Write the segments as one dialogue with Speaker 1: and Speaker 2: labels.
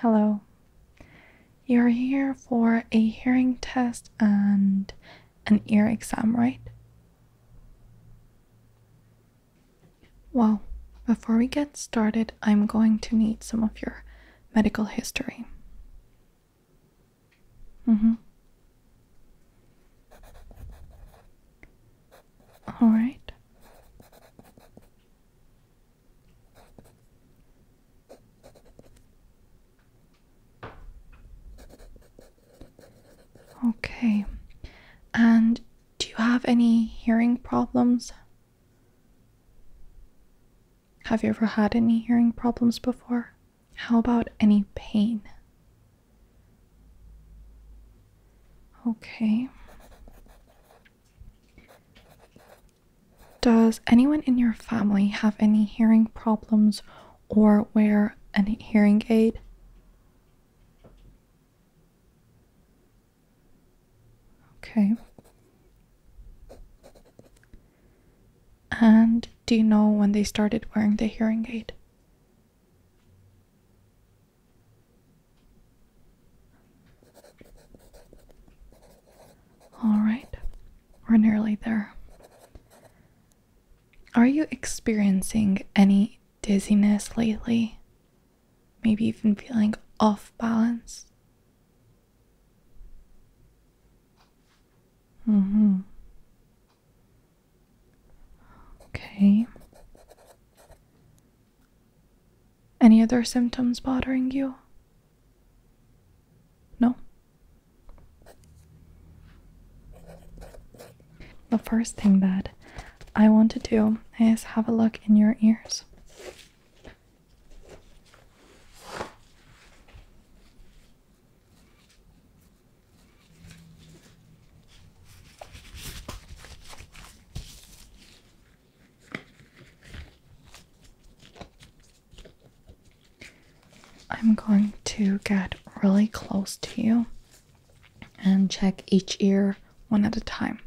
Speaker 1: Hello. You're here for a hearing test and an ear exam, right? Well, before we get started, I'm going to need some of your medical history. Mm-hmm. All right. Okay. And do you have any hearing problems? Have you ever had any hearing problems before? How about any pain? Okay. Does anyone in your family have any hearing problems or wear a hearing aid? Okay. And do you know when they started wearing the hearing aid? All right, we're nearly there. Are you experiencing any dizziness lately? Maybe even feeling off balance? Mm hmm. Okay. Any other symptoms bothering you? No. The first thing that I want to do is have a look in your ears. I'm going to get really close to you and check each ear one at a time.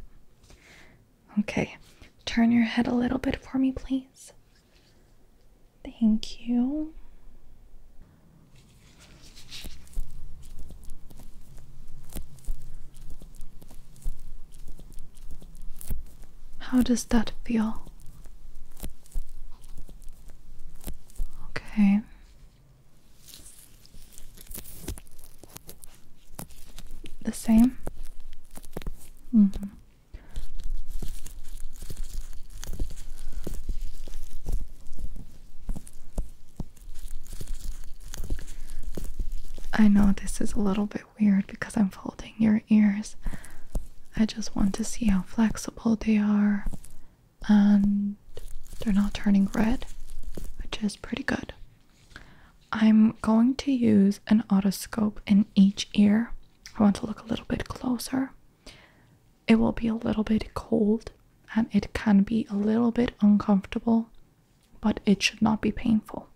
Speaker 1: Okay, turn your head a little bit for me, please. Thank you. How does that feel? Okay. The same? Mm -hmm. I know this is a little bit weird because I'm folding your ears. I just want to see how flexible they are and they're not turning red, which is pretty good. I'm going to use an otoscope in each ear. I want to look a little bit closer. It will be a little bit cold and it can be a little bit uncomfortable but it should not be painful.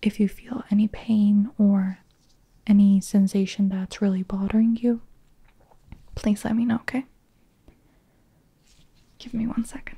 Speaker 1: If you feel any pain or any sensation that's really bothering you, please let me know, okay? Give me one second.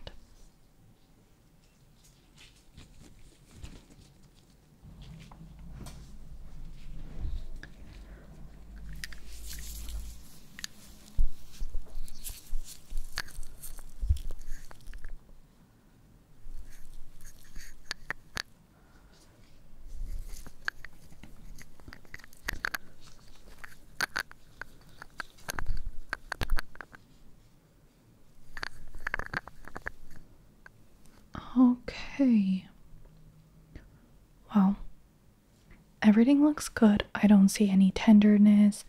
Speaker 1: Okay. Well, Everything looks good. I don't see any tenderness,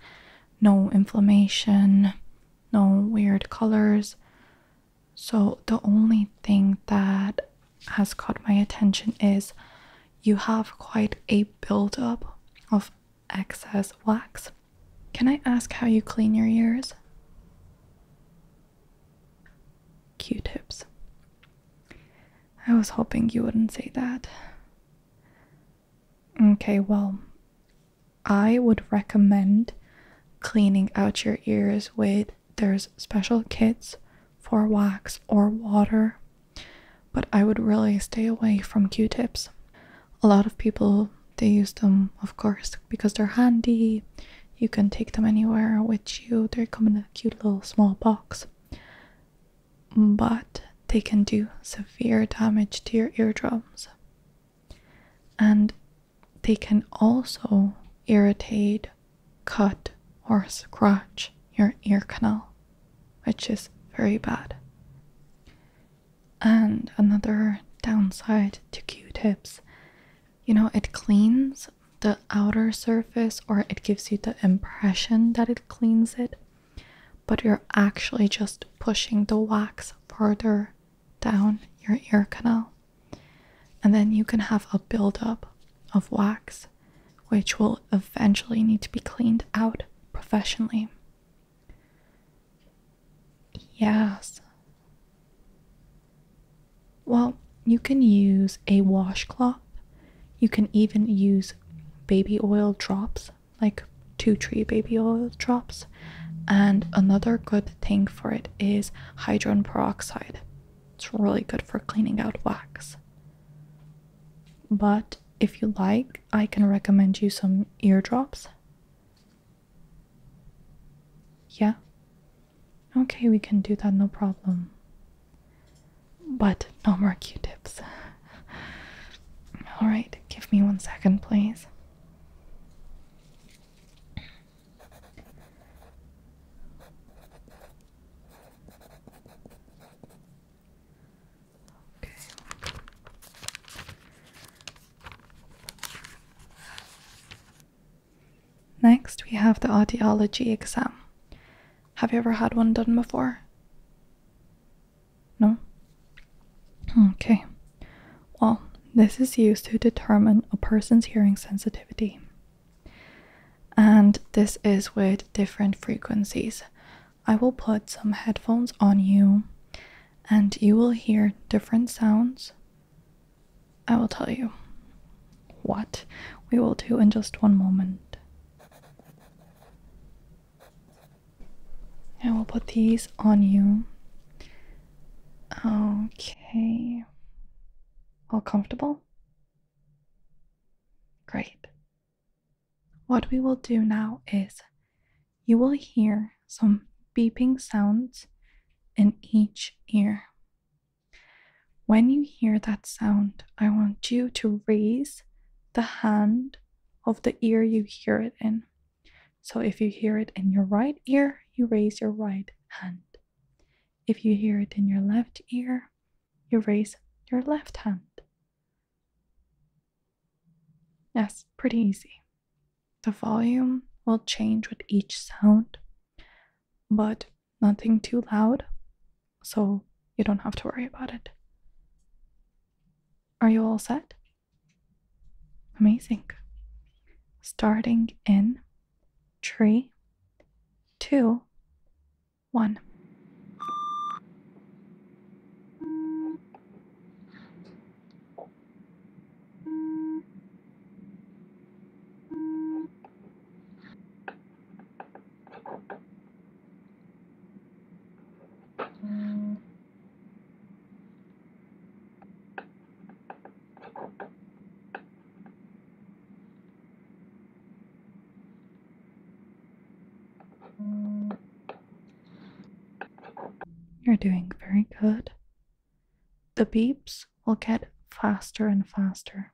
Speaker 1: no inflammation, no weird colors. So, the only thing that has caught my attention is you have quite a buildup of excess wax. Can I ask how you clean your ears? Q tips. I was hoping you wouldn't say that. Okay, well, I would recommend cleaning out your ears with there's special kits for wax or water, but I would really stay away from Q-tips. A lot of people they use them, of course, because they're handy. You can take them anywhere with you. They come in a cute little small box but they can do severe damage to your eardrums. And they can also irritate, cut, or scratch your ear canal, which is very bad. And another downside to Q tips you know, it cleans the outer surface or it gives you the impression that it cleans it, but you're actually just pushing the wax further down your ear canal. And then you can have a buildup of wax, which will eventually need to be cleaned out professionally. Yes. Well, you can use a washcloth you can even use baby oil drops, like two, tree baby oil drops. And another good thing for it is hydrogen peroxide. It's really good for cleaning out wax. But if you like, I can recommend you some eardrops. Yeah? Okay, we can do that, no problem. But no more q tips. Alright, give me one second, please. Okay. Next, we have the audiology exam. Have you ever had one done before? No? Okay. Well, this is used to determine a person's hearing sensitivity. And this is with different frequencies. I will put some headphones on you and you will hear different sounds. I will tell you. What? We will do in just one moment. I will put these on you. Okay. All comfortable? Great. What we will do now is you will hear some beeping sounds in each ear. When you hear that sound, I want you to raise the hand of the ear you hear it in. So if you hear it in your right ear, you raise your right hand. If you hear it in your left ear, you raise your left hand. Yes, pretty easy. The volume will change with each sound, but nothing too loud, so you don't have to worry about it. Are you all set? Amazing. Starting in three, two, one. You're doing very good. The beeps will get faster and faster.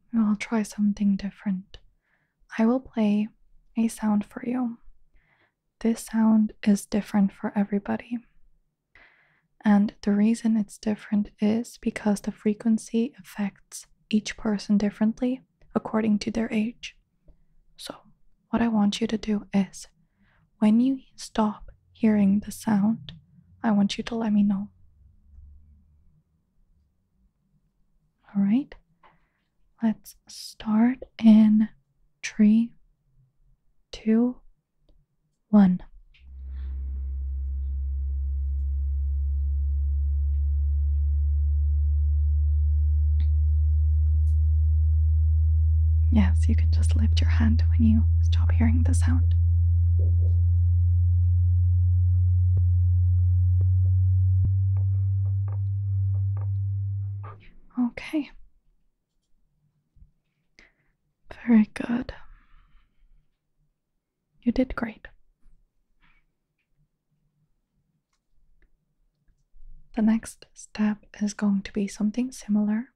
Speaker 1: I'll try something different. I will play a sound for you. This sound is different for everybody. And the reason it's different is because the frequency affects each person differently according to their age. So, what I want you to do is when you stop hearing the sound, I want you to let me know. All right, let's start in three, two, one. Yes, you can just lift your hand when you stop hearing the sound. Okay. Very good. You did great. The next step is going to be something similar,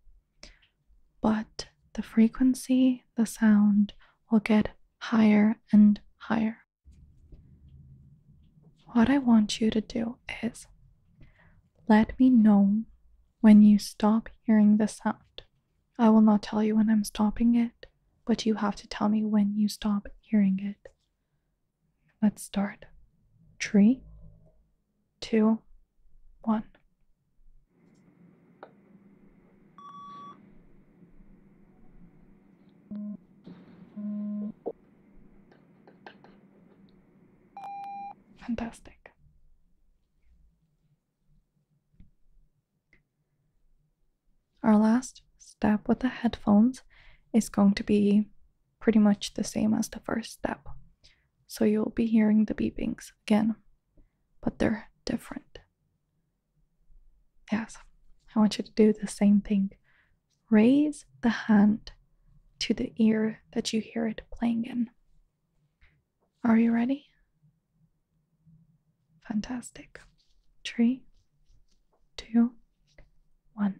Speaker 1: but the frequency, the sound will get higher and higher. What I want you to do is let me know when you stop hearing the sound. I will not tell you when I'm stopping it, but you have to tell me when you stop hearing it. Let's start. Three, two, one. Fantastic. Our last step with the headphones is going to be pretty much the same as the first step. So you'll be hearing the beepings again, but they're different. Yes, I want you to do the same thing. Raise the hand to the ear that you hear it playing in. Are you ready? Fantastic. Three, two, one.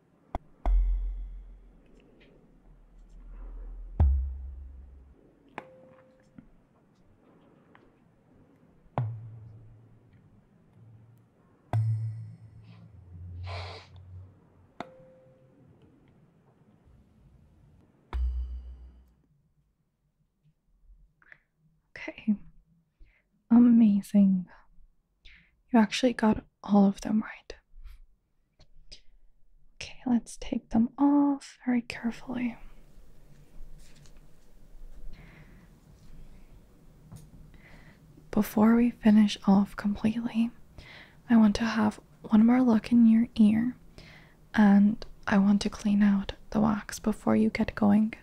Speaker 1: Okay, amazing. You actually got all of them right. Okay, let's take them off very carefully. Before we finish off completely, I want to have one more look in your ear and I want to clean out the wax before you get going.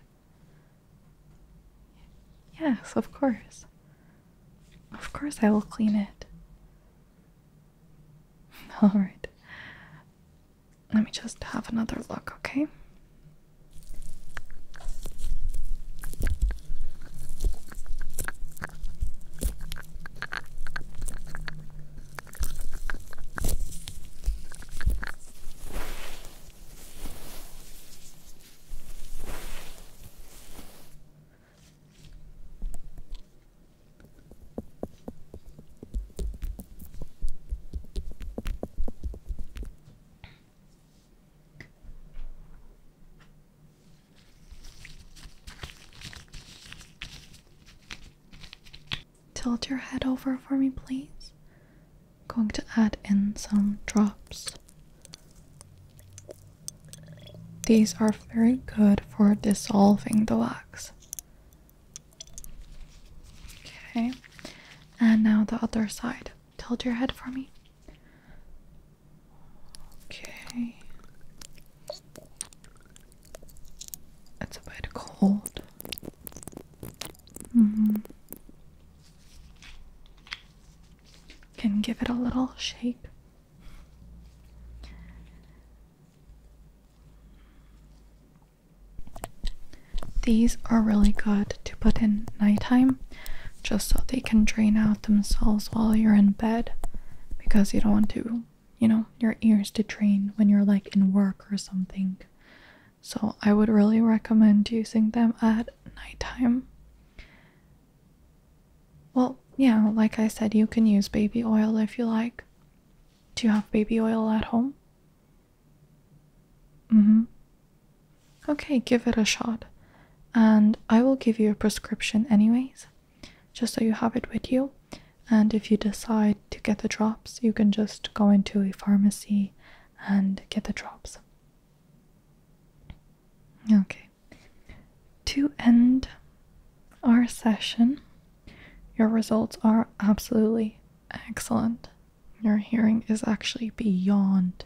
Speaker 1: Yes, of course. Of course, I will clean it. Alright. Let me just have another look, okay? Tilt your head over for me, please going to add in some drops. These are very good for dissolving the wax. Okay, and now the other side. Tilt your head for me. Okay. It's a bit cold. Mm -hmm. Can give it a little shape. These are really good to put in nighttime just so they can drain out themselves while you're in bed because you don't want to, you know, your ears to drain when you're like in work or something. So I would really recommend using them at nighttime. Well, yeah, like I said, you can use baby oil if you like. Do you have baby oil at home? Mm-hmm. Okay, give it a shot. And I will give you a prescription anyways, just so you have it with you. And if you decide to get the drops, you can just go into a pharmacy and get the drops. Okay. To end our session, your results are absolutely excellent. Your hearing is actually beyond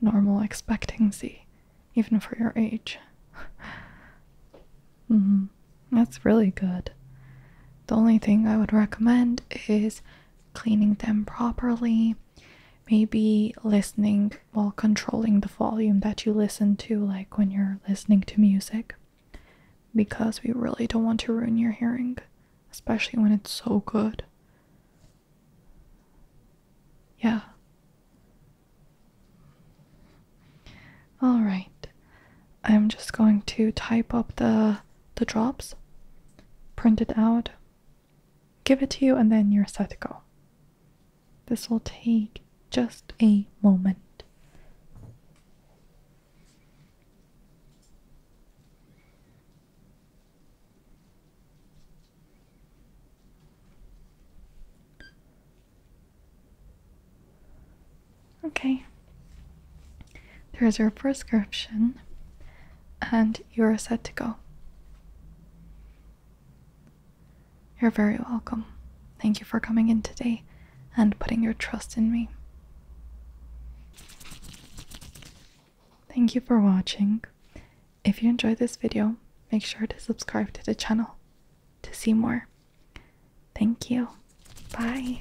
Speaker 1: normal expectancy, even for your age. Mm-hmm. That's really good. The only thing I would recommend is cleaning them properly, maybe listening while controlling the volume that you listen to, like when you're listening to music, because we really don't want to ruin your hearing, especially when it's so good. Yeah. Alright, I'm just going to type up the the drops, print it out, give it to you, and then you're set to go. This will take just a moment. Okay, there is your prescription, and you are set to go. You're very welcome. Thank you for coming in today and putting your trust in me. Thank you for watching. If you enjoyed this video, make sure to subscribe to the channel to see more. Thank you. Bye.